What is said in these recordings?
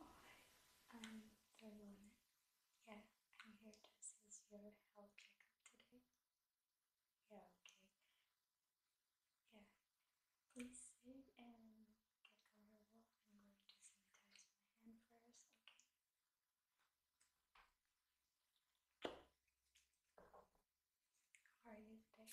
Oh, hi, I'm Darlene. Yeah, I'm here to assist your health checkup today. Yeah, okay. Yeah, please sit and get comfortable. I'm going to sanitize my hand first, okay? How are you today?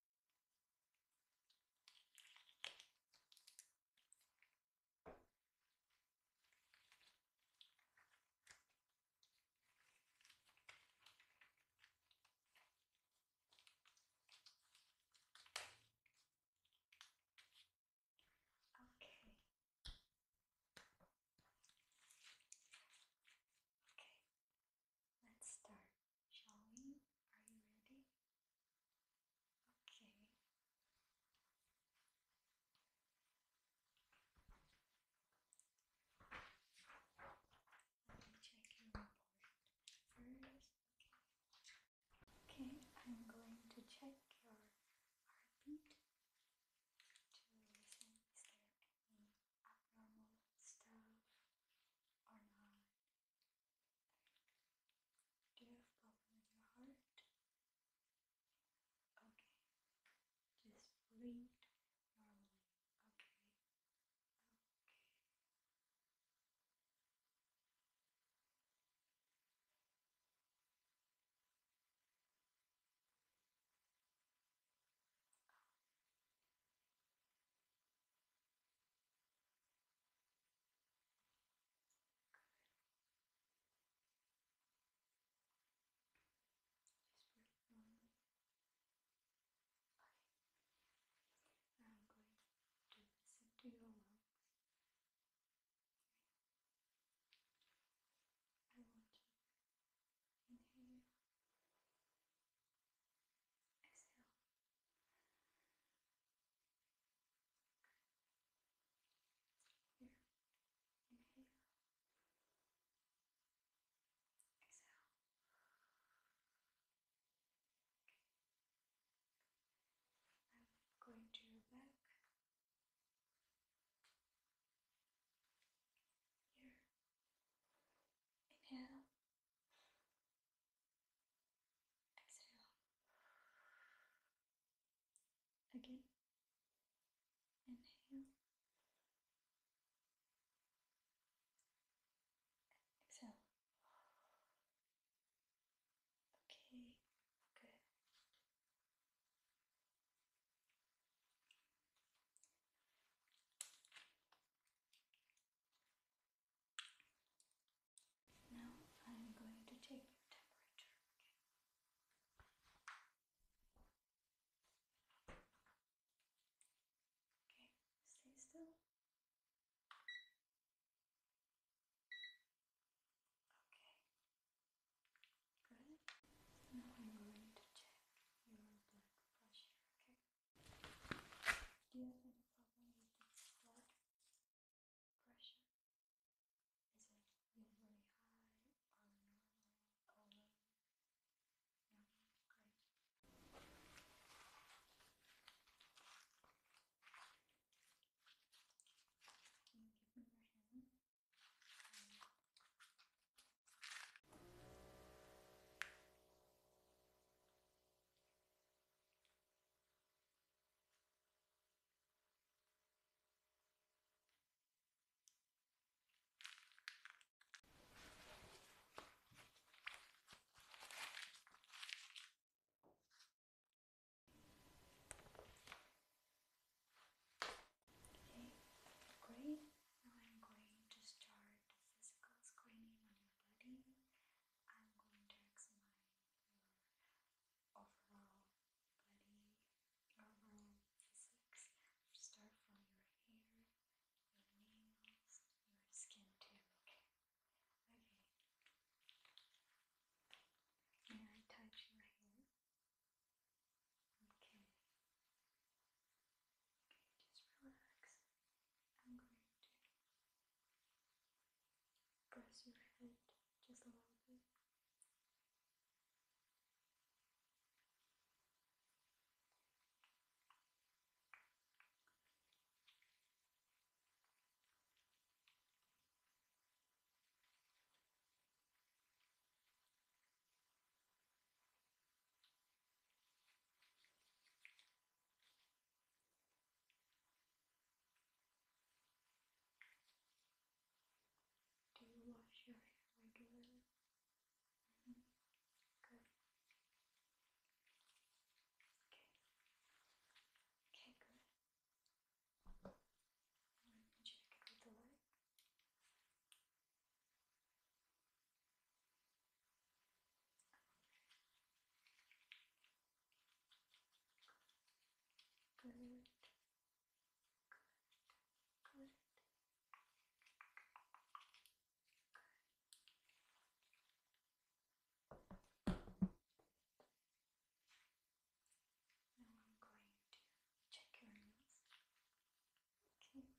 Okay. Okay. Let's start. Shall we? Are you ready? Okay. Let me check your report first. Okay. I'm going to check your heartbeat to listen is there any abnormal stuff or not. Do you have problem with your heart? Okay. Just breathe Okay. Okay. Just breathe normally. Okay. Now I'm going to do this into your lungs. I want you inhale, exhale, here. Inhale. Exhale. I'm going to your back. Here. Inhale. Exhale. Again. Inhale. Exhale. Okay, good. Now I'm going to take your temperature. Okay, stay still. Okay, good. Now I'm going to check your blood pressure. Okay pressure is like really high or normal low. Normal, Okay, great. Now I'm going to start physical screening on your body. I'm going to examine overall body, overall physics. Start from your hair, your nails, your skin too, okay? Okay. May I touch your hair? Okay. Okay, just relax. I'm going to Press your head just a little bit. Do you wash your hair regularly? Mm-hmm. Good. Okay. Okay, good. Let me check the light. Good. Good. Now I'm going to check your nose. Okay.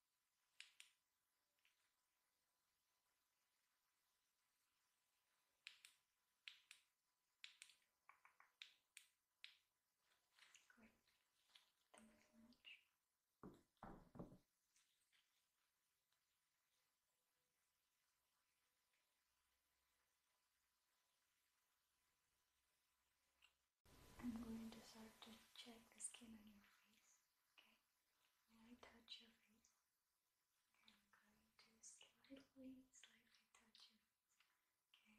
Great. Thank you so much. I'm going to start to check the skin on your face, okay? Now I touch your face. I'm going to slightly, slightly touch it. Okay,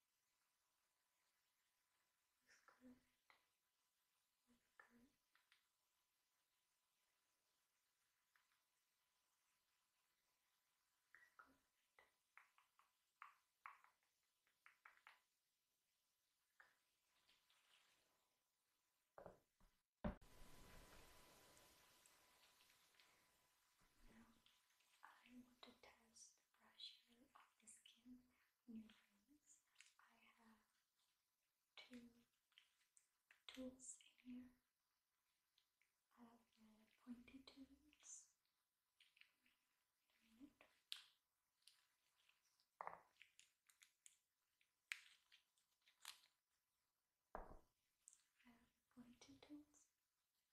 It's good. It's good. It's good. Now I want to test the pressure of the skin on your I have two tools in here. I have the tools. I have pointed tools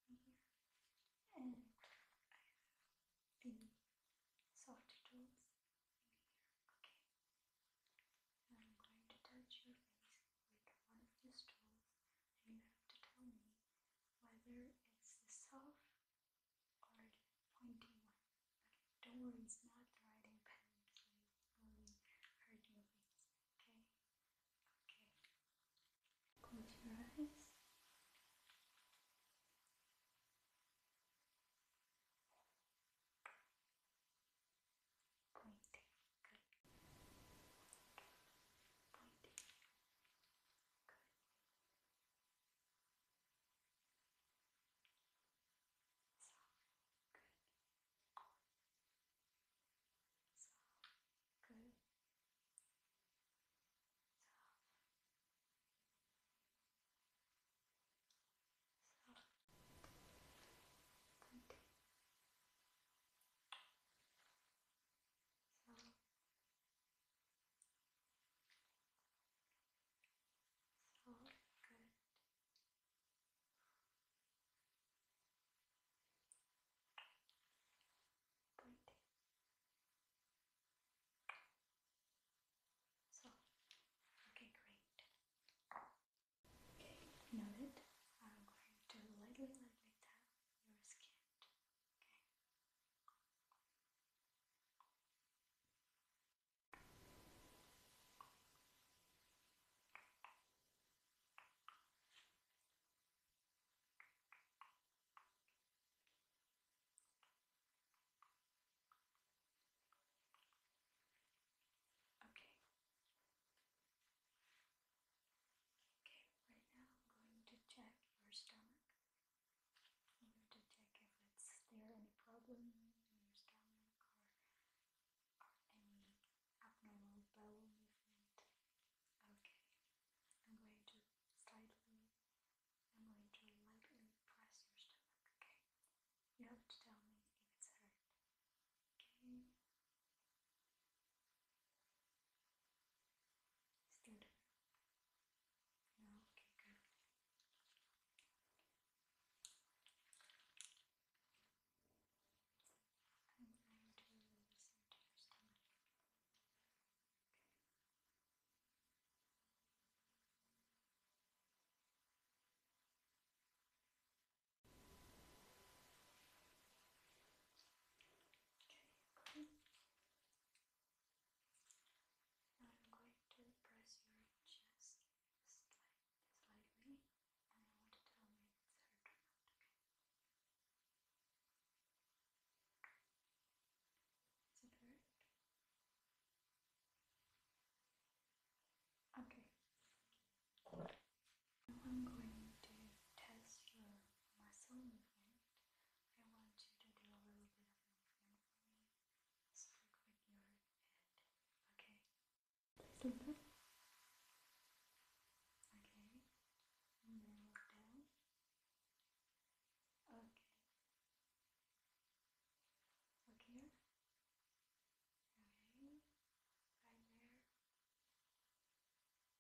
in here, and I thin soft tools in here, okay? I'm going to touch your face with one of these tools and you have to tell me whether it's the soft or the pointy one. Okay, don't worry, not the writing pen, so only hurt your okay? Okay. Close your eyes. Pointing. Good. Pointing. Good. So good. So good. So, continue. So, so good. Pointing. So, okay, great. Okay, now I'm going to lightly, lightly tap your skin. Okay. Okay. Okay, right now I'm going to check your stomach. I'm going to check if there any problem in your stomach or any abnormal bowel movement. Okay. I'm going to slightly I'm going to lightly press your stomach, okay? You have to tell me if it's hurt, okay? Still No? Okay, good. Okay. Now I'm going to press your chest slightly and I want to tell me if it's hurt okay? Is it hurt? Okay. I'm going to test your muscle movement. I want you to do a little bit of movement for me. Start with your head. Okay. Please look up. Okay. And then look down. Okay. Look Right. there.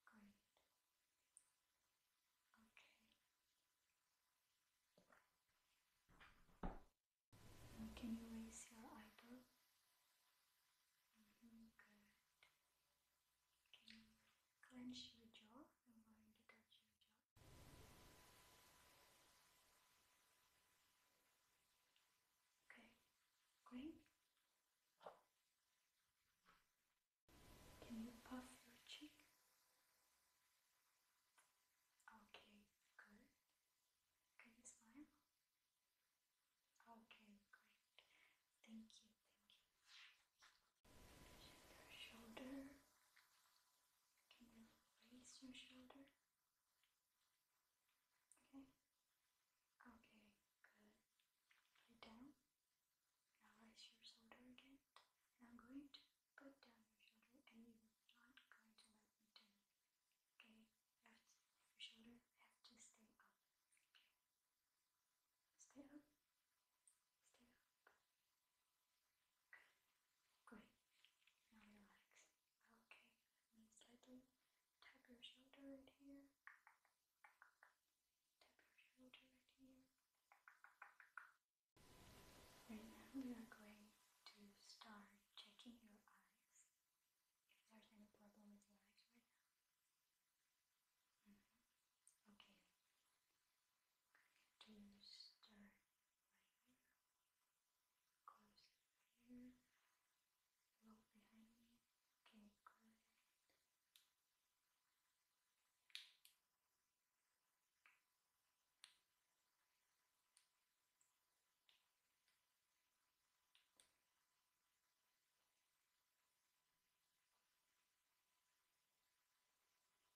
Great. Okay. can you raise your eyebrow? Mm-hmm, good. Can you clench your jaw? I'm going to touch your jaw. Okay, great. Can you puff your cheek? Okay, good. Can you smile? Okay, great. Thank you, thank you. Shoulder, can you raise your shoulder? Okay. Okay, good. Put down. Now raise your shoulder again. I'm going to put down your shoulder and you're not going to let me down. Okay? Left your shoulder have to stay up. Okay. Stay up. Stay up. Good. Great. Now relax. Okay. Let me slightly tap your shoulder right here. Tap your shoulder right here. Right now we are going to start checking your eyes. If there's any problem with your eyes right now. Mm-hmm. Okay. To start right here, goes here, a little behind me, okay, good.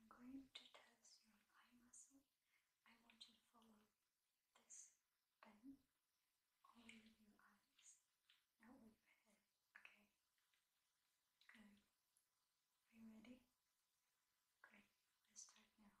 I'm going to test your eye muscle. I want you to follow this bend with your eyes, not with your head. Okay? Good. Are you ready? Great. Let's start now.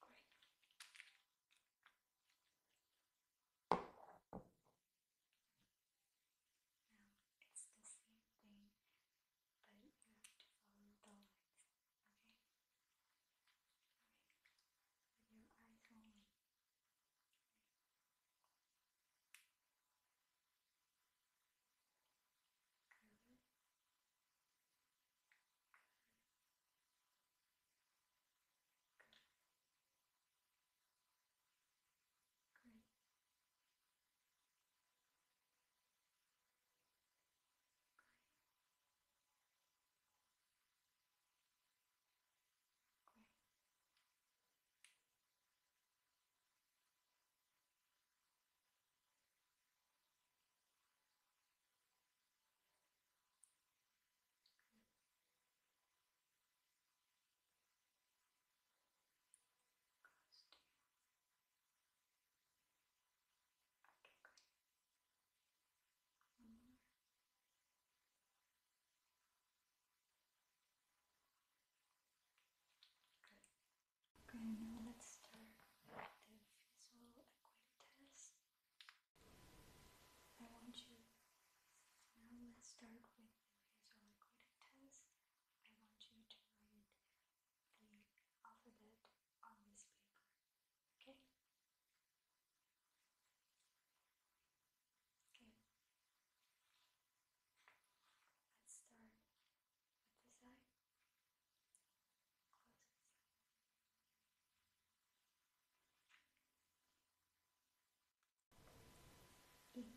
Great. it's the same thing, but you have to follow Okay? Alright. With your eyes only. Great. Great. Great. Good. Close to you. Okay, great. Mm. Okay, now let's start the visual acquaintance. I want you now let's start with the visual acquaintance. I want you to write the alphabet on this paper. Okay? Okay. Let's start with this eye. Close this eye.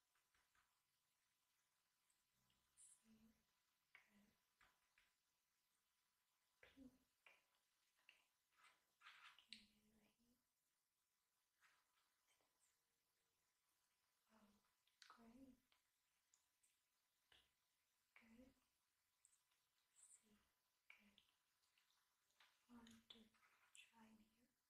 Pink. Okay. you great. Good. See, good. Want to try it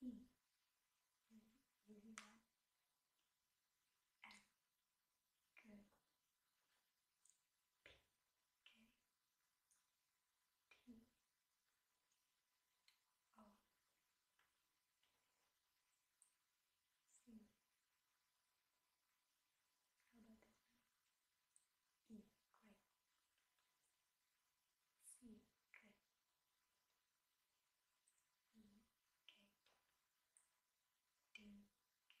E Julia How about this one? E great C great Okay. D. Okay, good. C.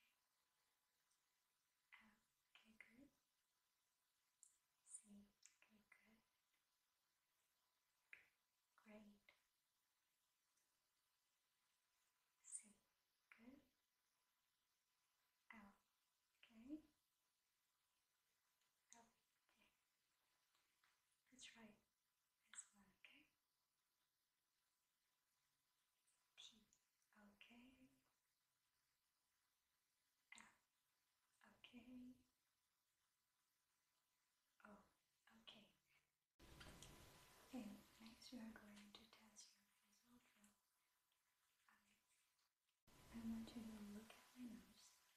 Okay, good. Great. C. Good. L. Okay. L. Okay. That's right as well, okay? P, okay. L, okay. O, okay. Okay, next we are going to test your nasal flow. I want you to look at my nose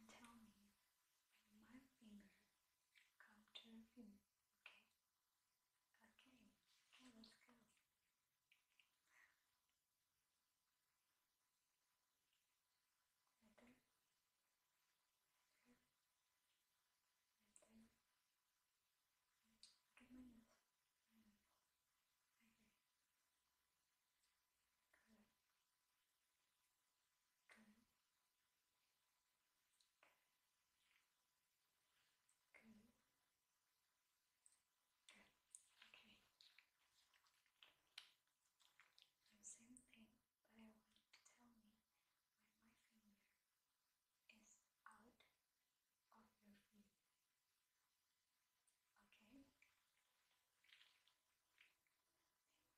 and tell me when my finger come to a Okay? Okay, okay, let's go. Right there. Right Good. Good. Good. Good. Okay. same thing, but I want you to tell me when my finger is out of your feet. Okay?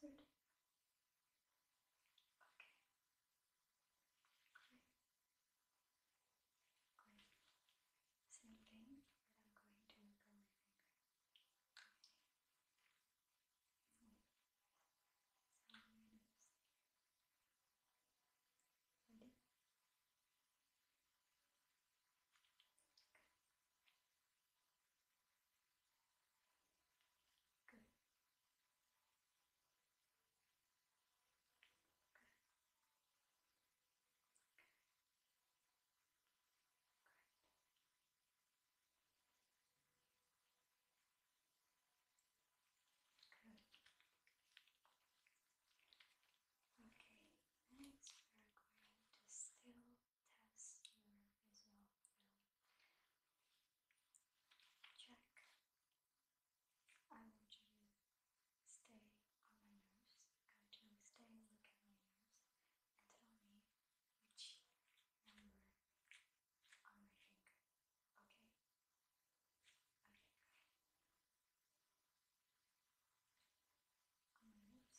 Great. Closer. Okay. Great. Great. Same thing, but I'm going to wiggle my finger. Okay. Mm. So I'm going to Ready? Okay. Good. Good. Okay, next we're going to still test your visual field. Check. I want you to stay on my nose. I want you to stay and at my nose and tell me which number on my finger. Okay? Okay. On my nose.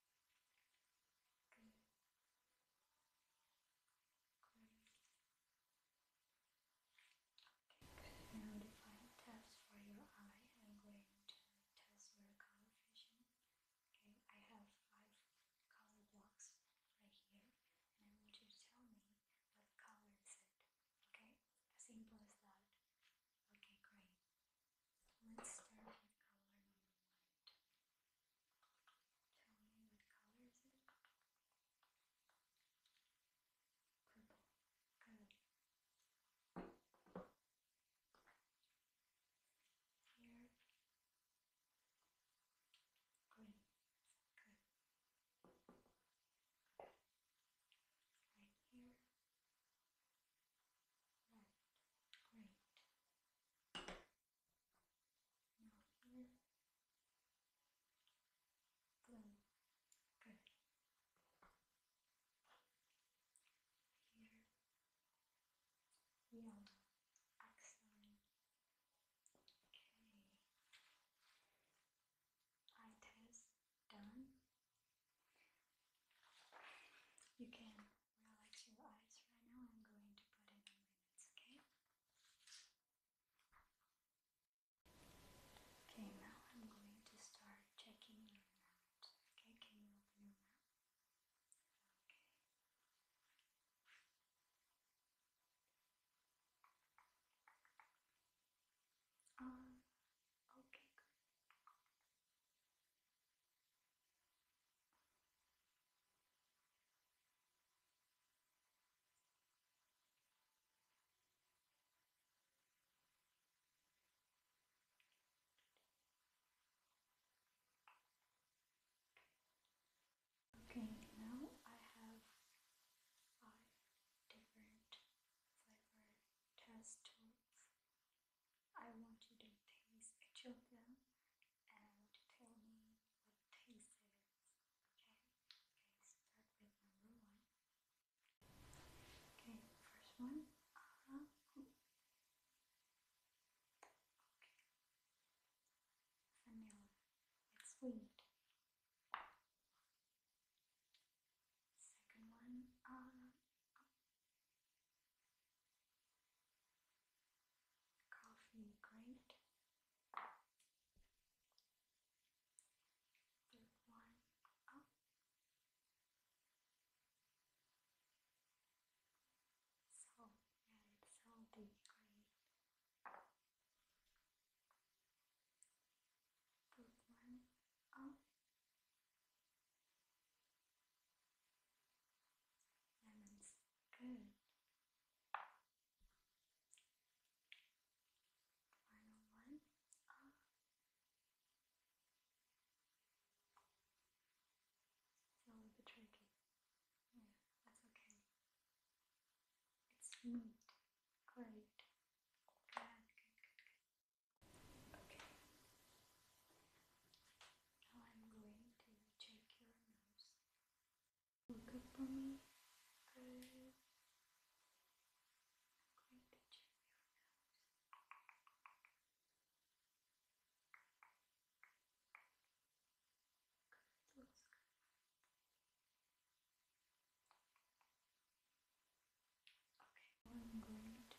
good, good. Okay, Now define tabs for your eye. I'm going to test your color vision. Okay, I have five color blocks right here, and I want you to tell me what color is it. Okay, as simple as that. Okay, great. Let's start with color Tell me what color is it? Purple. Good. Here. Green. Good. Right here. Right, great. Now here, blue, good. Here, yellow, excellent. Okay, eye test done. You can relax your eyes right now. I'm going to put it in minutes, okay? Okay, now I'm going to start checking your mouth. Okay, can you open your mouth? Okay. Um, okay, good. Okay, now I have five different flavor test tools I want you to taste each of them and tell me what taste it is. Okay? Okay, start with number one. Okay, first one. Uh Okay. Vanilla. It's sweet. Second one. Uh Coffee, great. Big one up. So, yeah, it's so deep green. Put one up. Oh. Lemons. Good. Final one. a little bit tricky. Yeah, that's okay. It's neat. Great. Good, good, Okay. Now I'm going to check your nose. Look up for me. Good. I'm going to check your nose. Good. Looks good. Okay, I'm going to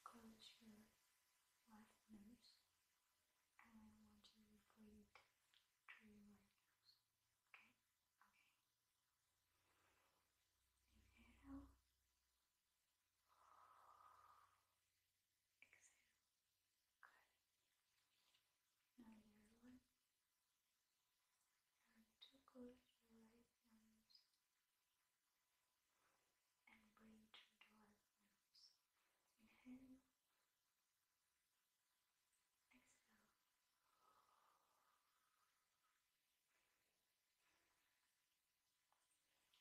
close your left nose and I want you to blink through my nose. Okay? Okay. Inhale. Exhale. Good. Now the other one. And to close your right nose and breathe through the nose. Inhale, exhale.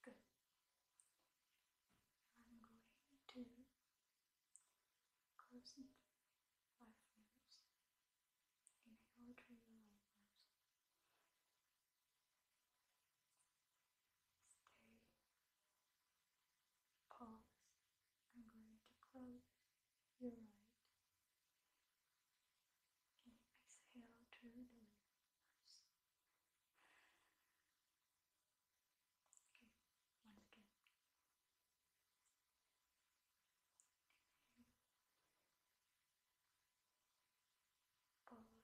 Good. I'm going to close it by Inhale through your nose. Stay. Pause. I'm going to close your right. And exhale through the nose. Okay, once again. Pause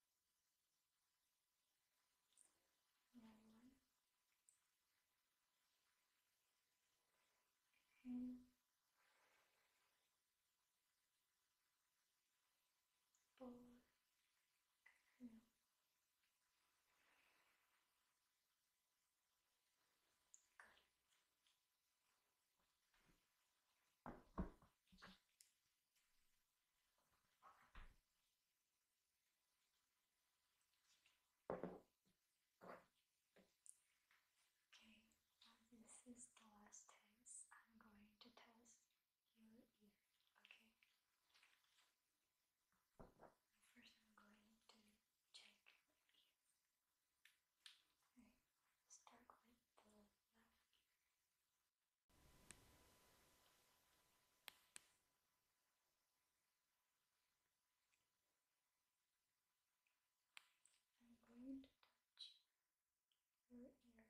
Another one. Okay. Forward. Through. Good. Okay, well, um, this is the last test. I'm going to test your ear, okay? First, I'm going to check your ear. Okay, start with the left ear. I'm going to touch your ear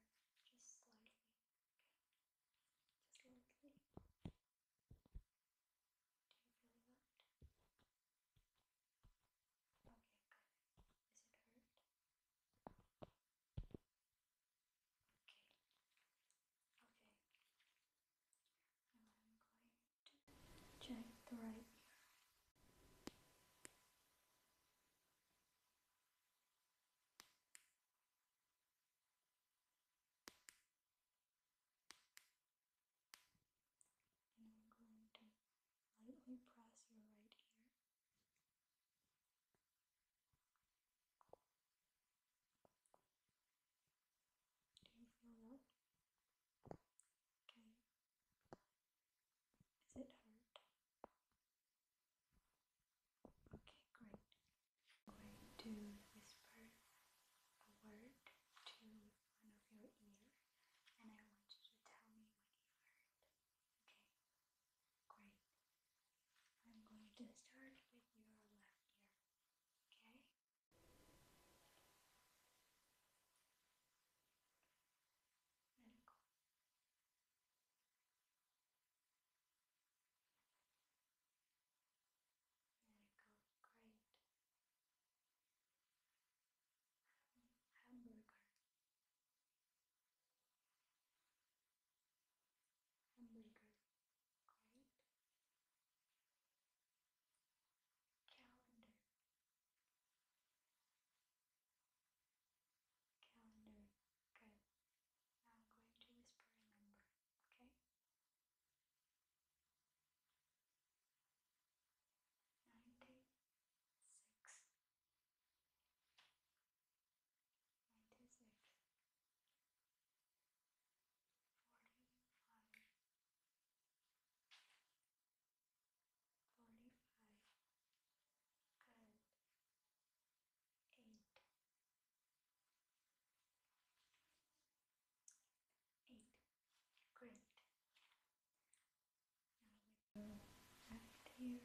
just slightly, okay? Just lightly. Do you feel that? Okay, good. Does it hurt? Okay. Okay. I'm going to check the right ear. And I'm going to lightly press your right ear. Do you feel that? Okay. Does it hurt? Okay, great. I'm going to whisper a word to one of your ears, and I want you to tell me when you heard. Okay, great. I'm going to start with your left ear. Okay? And go. There you go, great. Hamburger omega, right? Calendar, calendar, good. Now I'm going to whisper a number, okay? Ninety six ninety-six, forty-five, forty-five, and Great. Now we go right here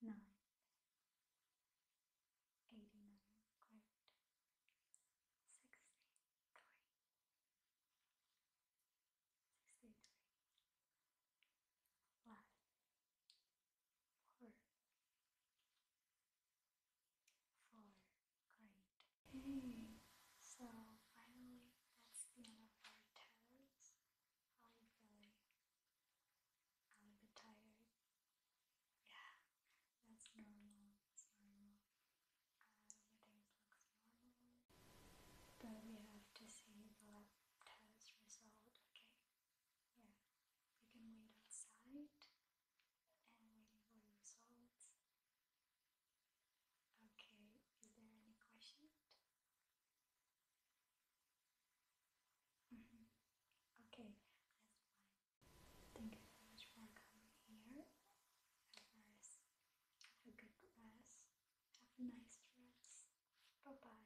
Eighty-nine. Eighty-nine. Great. Sixty-three. Sixty-three. Great. Mm. So finally, that's the end of our toes. I'm a bit tired. Yeah, that's normal. That's normal. Uh, everything looks normal. But we have to see the test result, okay? Yeah, you can wait outside and wait for the results. Okay, is there any question? Mm-hmm. Okay, that's fine. Thank you so much for coming here. Have a good rest. Have a nice rest. Bye bye.